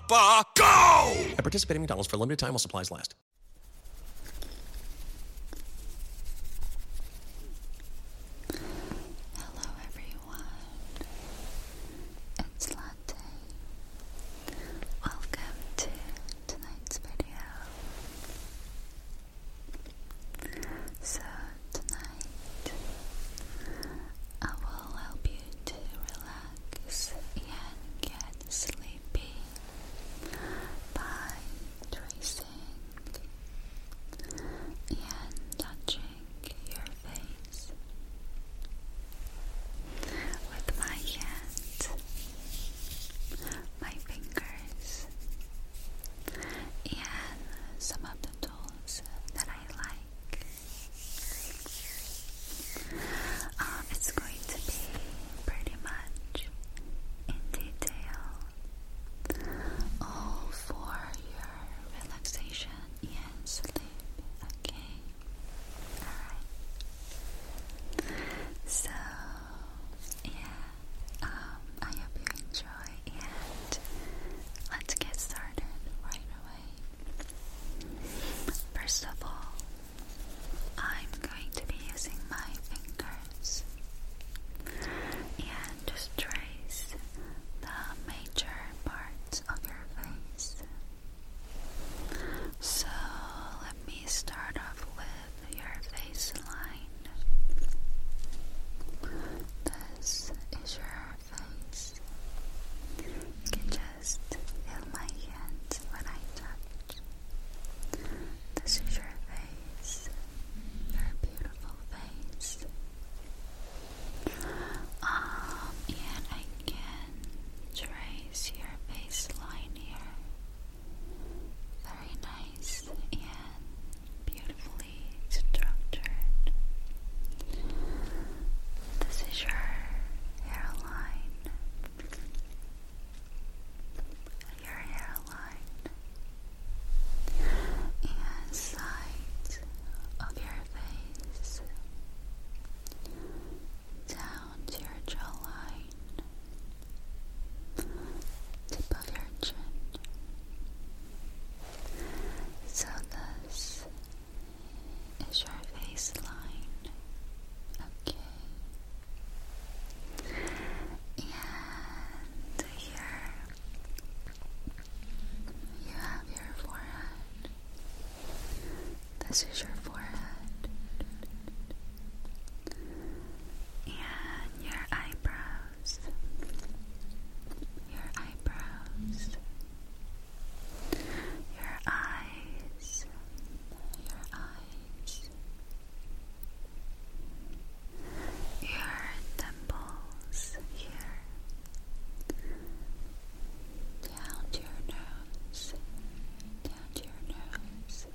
Papa, go! At participating McDonald's for a limited time while supplies last. Hello, everyone. It's Latte. Welcome to tonight's video. So, tonight I will help you to relax and get sleepy by tracing and touching your face with my hands, my fingers, and some of the tools that I like. Um, it's going to be pretty much in detail all for your relaxation and sleep. Okay, alright. So, yeah, um, I hope you enjoy, and let's get started right away. First of all, I'm going to be using my fingers and just trace the major parts of your face. So let me start off with your face line. This is your your can just feel my hands when I touch. This is your beautiful face. Um, and I can trace your baseline here. Very nice and beautifully structured. This is your hairline hairline, your hairline, sides of your face, down to your jawline, tip of your chin. So is your baseline okay? And here you have your forehead. This is your forehead. And your eyebrows. Your eyebrows your eyes, your eyes, your temples here, down to your nose, down to your nose,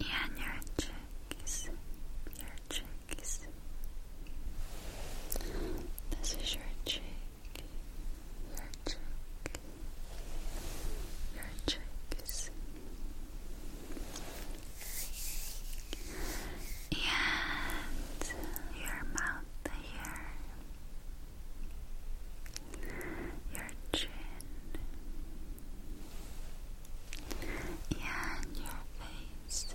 and your cheeks, your cheeks. This is your cheek, your cheek, your cheeks. And your mouth here, your chin, and your face,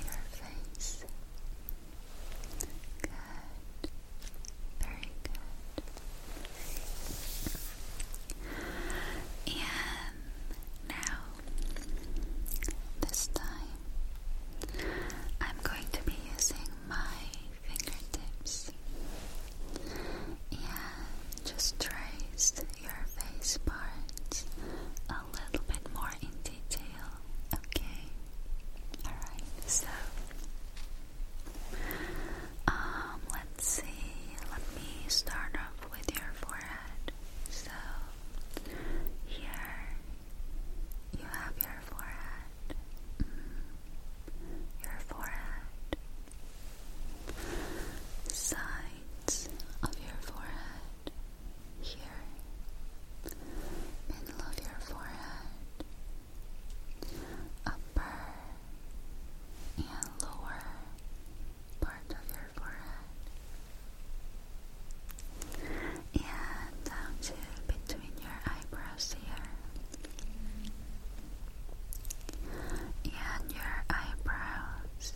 your face, Good. Very good. And now, this time, I'm going to be using my fingertips and just trace your face parts a little bit more in detail, okay? Alright, so um, let's see, let me start off with your forehead. So, here you have your forehead, mm-hmm. your forehead, sides of your forehead here, middle of your forehead, upper and lower part of your forehead, and down to between your eyebrows here, and your eyebrows.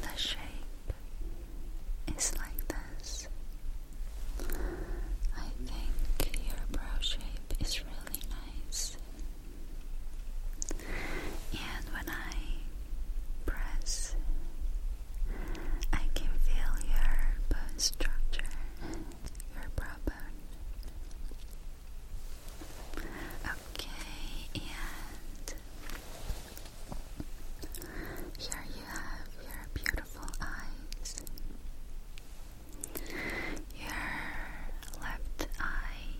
The shape it's like this. I think your brow shape is really nice. And when I press, I can feel your bone structure, your brow bone. Okay, and here you have your beautiful eyes. Your left eye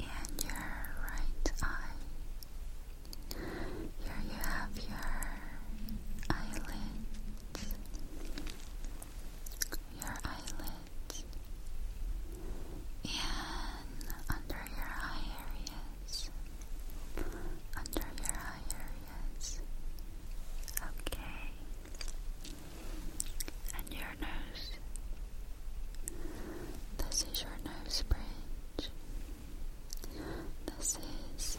and your right eye. Here you have your eyelids. Your eyelids. And under your eye areas. Under your eye areas. Okay. And your nose. This is your nose bridge. This is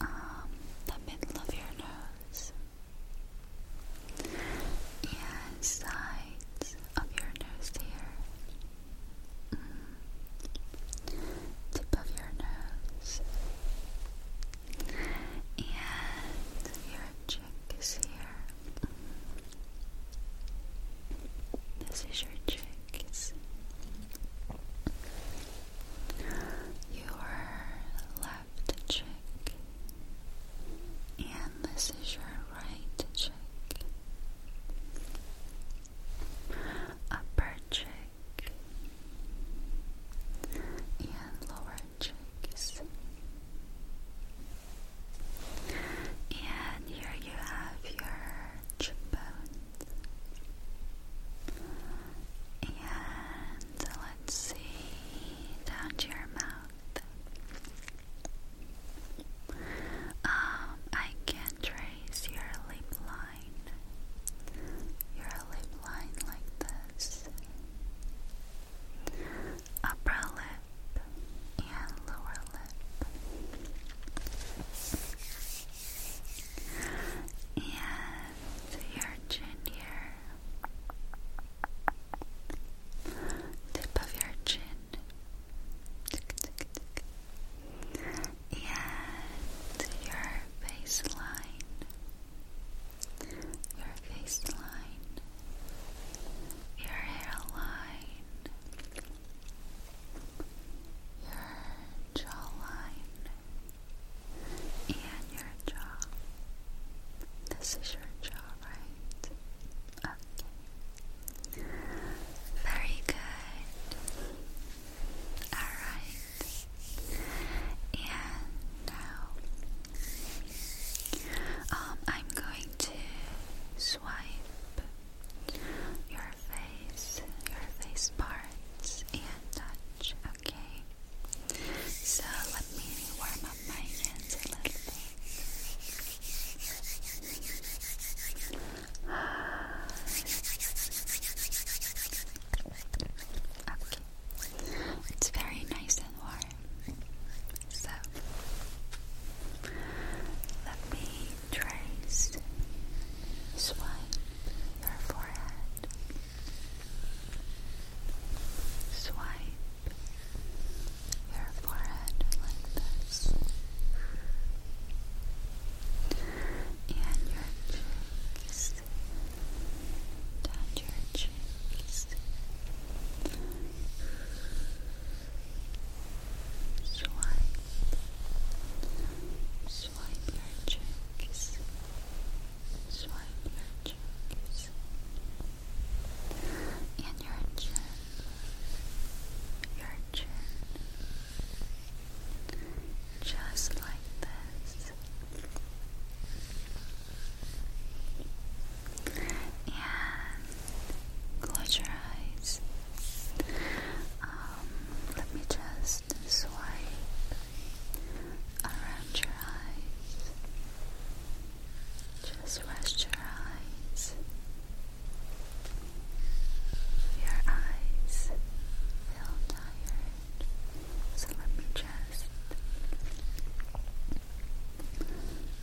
um, the middle of your nose. And sides of your nose here tip of your nose, and your cheek is here. This is your cheeks. Your left cheek, and this is your right cheek upper cheek and lower cheeks. And here you have your cheekbones. And let's see down to your mouth. Um, I can't try trace your lip line, your lip line like this, upper lip and lower lip, and your chin here. Tip of your chin, and your baseline, your baseline, your hairline, your jawline, and your jaw. This is your jaw, right? Okay. Very good. Alright. And now um, I'm going to swipe your face, your face parts, and touch, okay? So let me warm up my hands a little bit. It's very nice and warm. So let me trace swipe your forehead. Swipe your forehead like this and your cheeks, down your cheeks, swipe, swipe your cheeks, swipe your cheeks, and your chin. Your chin, just like this. And close your eyes. Um, let me just swipe around your eyes. Just rest your eyes. Your eyes feel tired, so let me just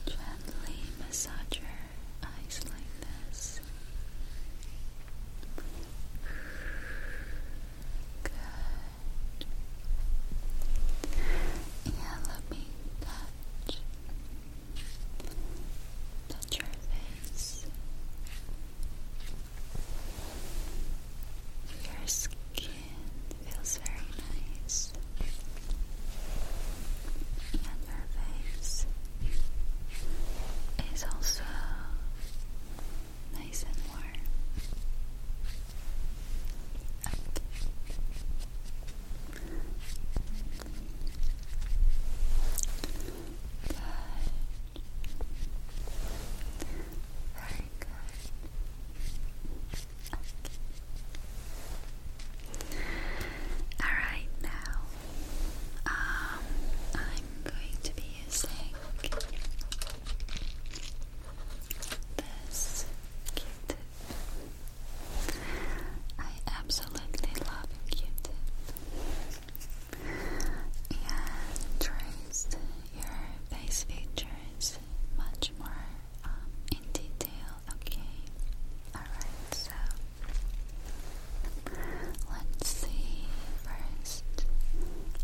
gently massage your eyes like this. Good. Yeah, let me touch. Touch your face. Your skin feels very nice, and your face is also nice and warm. Very good. Alright, now um, I'm going to be using this q I absolutely love q and trace your face features much more um, in detail. Okay, alright, so let's see first.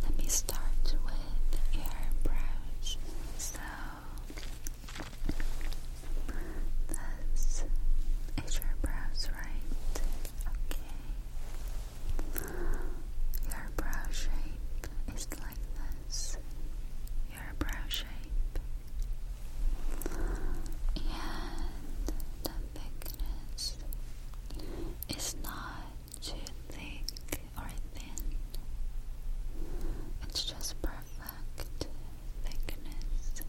Let me start with your brows. So, this is your brows, right? Okay. Your brow shape is like this. Your brow shape. And the thickness is not too thick or thin. It's just perfect thickness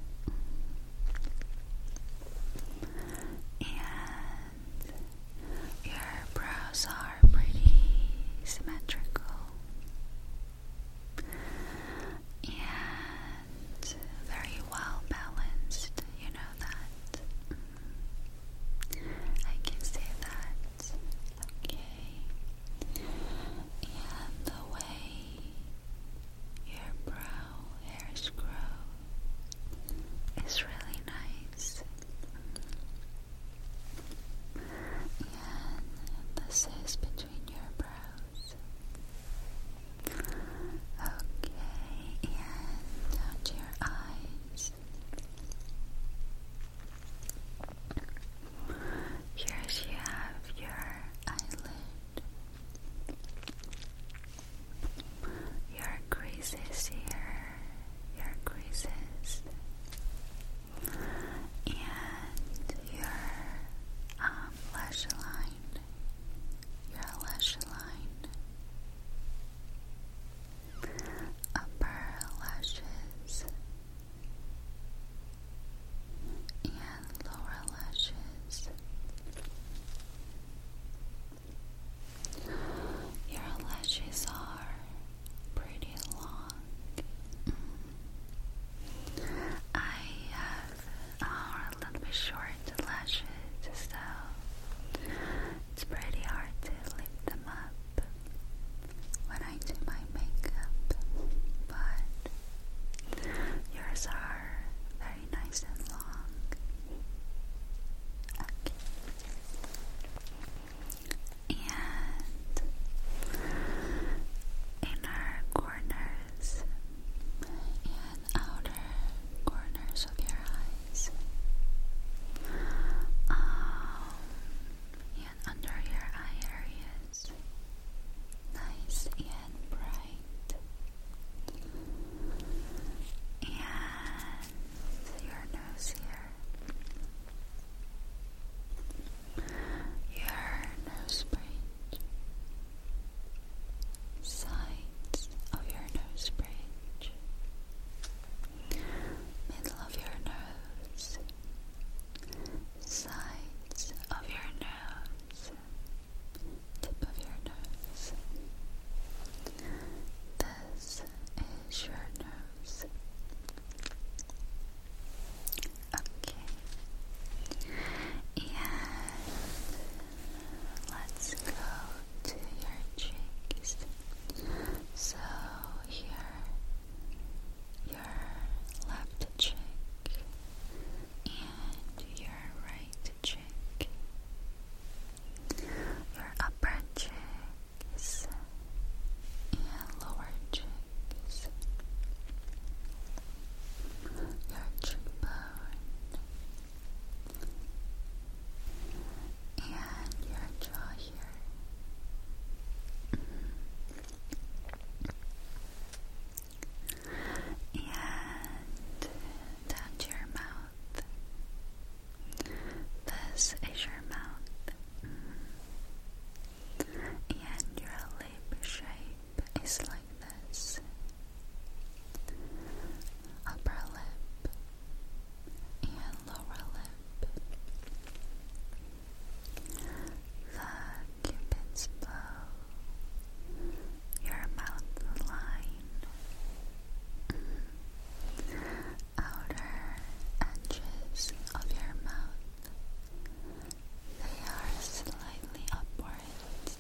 and your brows are pretty symmetrical and very well balanced. You know that. I can see that. Okay. And the way your brow hairs grow it's really nice. And this is between your brows. Okay, and down to your eyes. Here you have your eyelid your creases here, your creases, and your um, lash line, your lash line, upper lashes, and lower lashes. Your lashes are pretty long. Mm. I have uh, a little bit short lashes, so it's pretty hard to lift them up when I do my makeup, but yours are nice and long. Okay. And inner corners and outer corners of your eyes. Um, and under your eye areas. Nice and bright and your nose here, your nose bridge, sides of your nose bridge, middle of your nose, sides of your nose tip of your nose. This is your nose. Okay. And let's go to your cheeks. So here, your left cheek and your right cheek cheek, your upper cheeks, and lower cheeks, your cheekbone, and your jaw here. And down to your mouth. This is your mouth. And your lip shape is like this upper lip and lower lip. The cupid's bow. Your mouth line outer edges of your mouth. They are slightly upwards,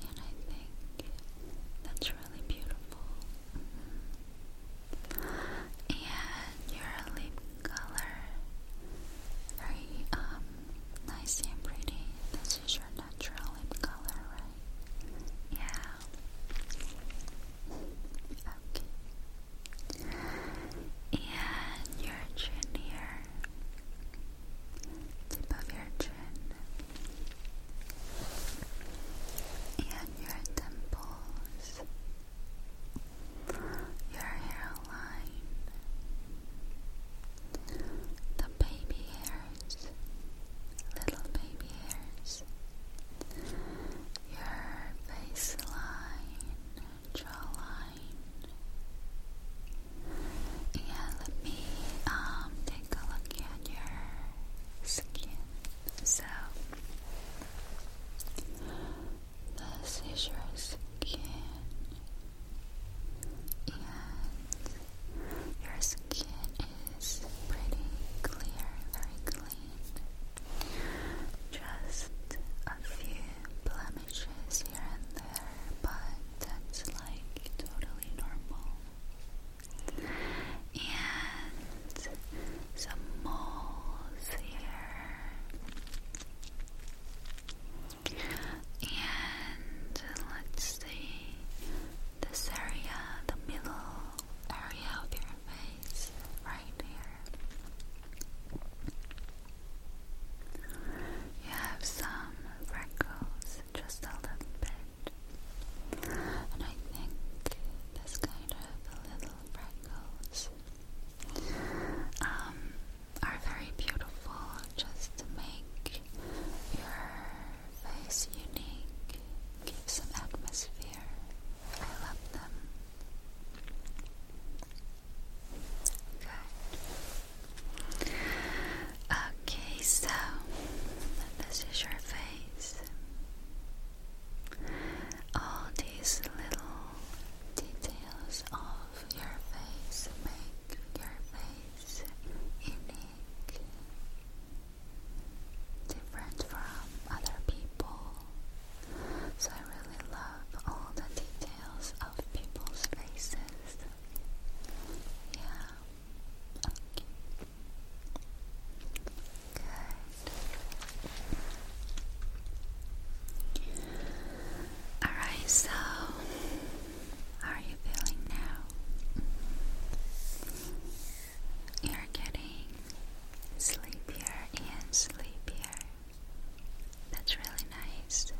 and I think that's really beautiful. Mm -hmm. And your lip color, very um nice and pretty. This is your natural lip color, right? Yeah. And your chin here. Tip of your chin. And your temples. Your hairline. The baby hair little baby hairs, your face line, jawline. Yeah, let me um take a look at your skin. So this is skin. And your skin is pretty clear, very clean. Just a few blemishes here and there, but that's like totally normal. And some moles here. And let's see this area, the middle area of your face, right here. You have some freckles, just a little bit. And I think this kind of little freckles um, are very beautiful just make your face unique, gives some atmosphere. I love them. Good. Okay, so this is your face. All these little details of your face make your face unique different from other people. So I really love all the details of people's faces. Yeah. Good. Alright, so are you feeling now? You're getting sleepier and sleepier. That's really nice.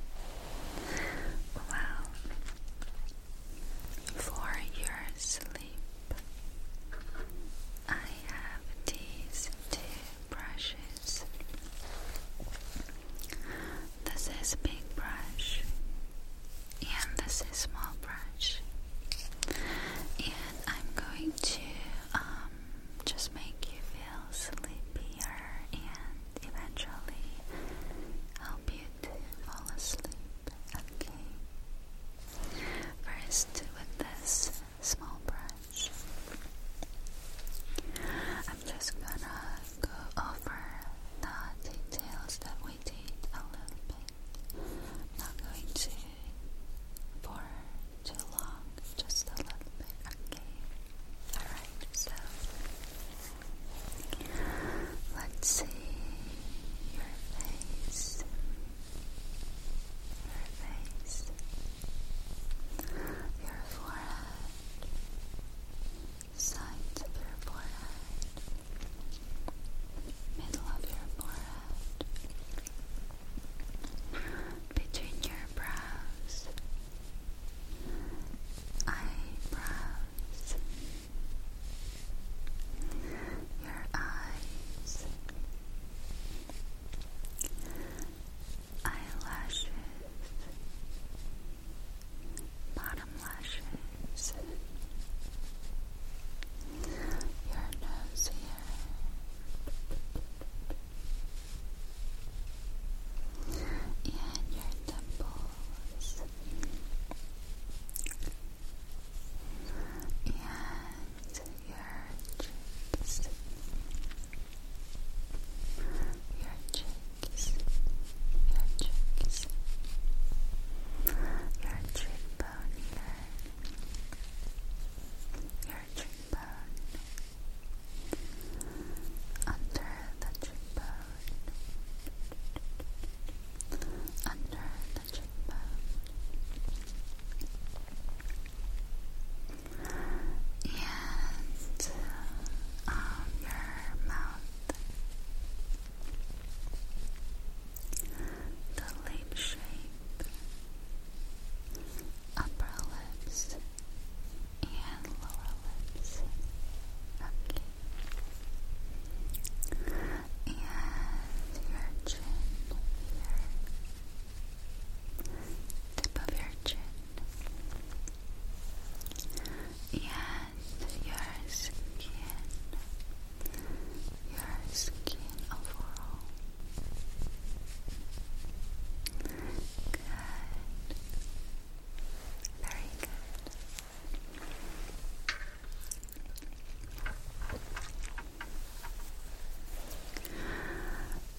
Well, for your sleep, I have these two brushes. This is big brush and this is small brush and I'm going to um, just make you feel sleepier and eventually help you to fall asleep okay first with this small brush I'm just gonna go over the details that we did a little bit not going to for too long, just a little bit, okay? Alright, so let's see your face. Your face. Your forehead. Sides of your forehead. Middle of your forehead between your brows, eyebrows, your eyes, eyelashes, bottom lashes nose. Your nose here. And your temples. And your cheeks. Your cheeks. Your cheeks. Your cheekbones here. Your cheekbone. Under the cheekbone. Under the cheekbone. And um, your mouth. The lip shape, upper lips, and lower lips. Okay. And your chin here. Tip of your chin. And your skin your skin overall. Good. Very good.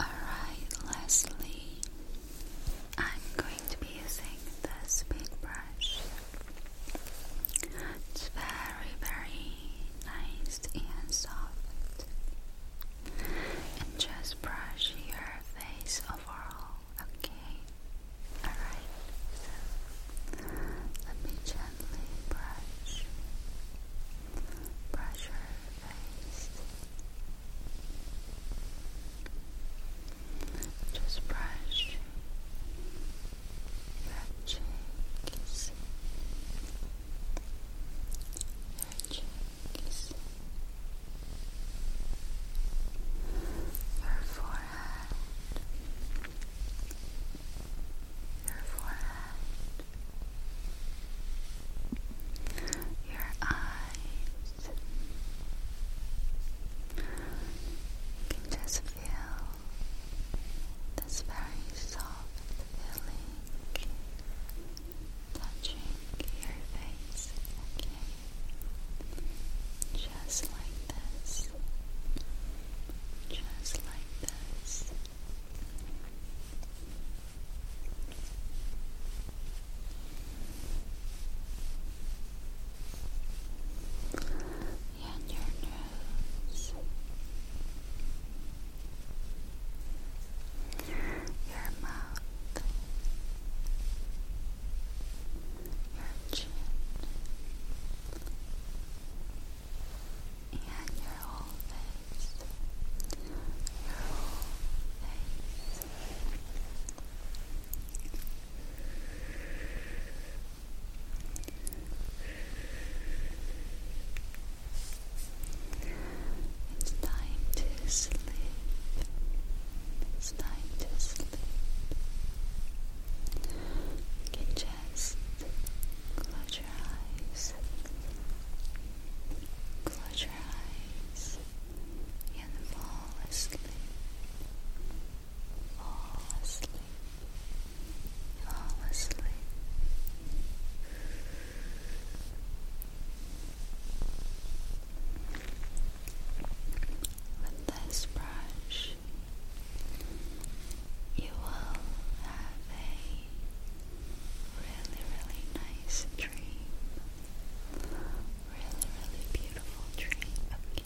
Alright, lastly, I'm going to be using the speed brush. It's very, very nice and soft. And just brush your face overall, okay? Alright, let me gently brush, brush your face. Just brush Magic is magic is your forehead, your forehead, your eyes. You can just feel this very soft feeling touching your face, okay? Just like this, just like this. And your yes. Your mouth, your chin, and your whole face, your whole face. It's time to sleep. It's time to sleep. You can just close your eyes. Close your eyes and fall asleep. Fall asleep flawlessly. With this brush, you will have a really, really nice dream. Really, really beautiful dream. Okay.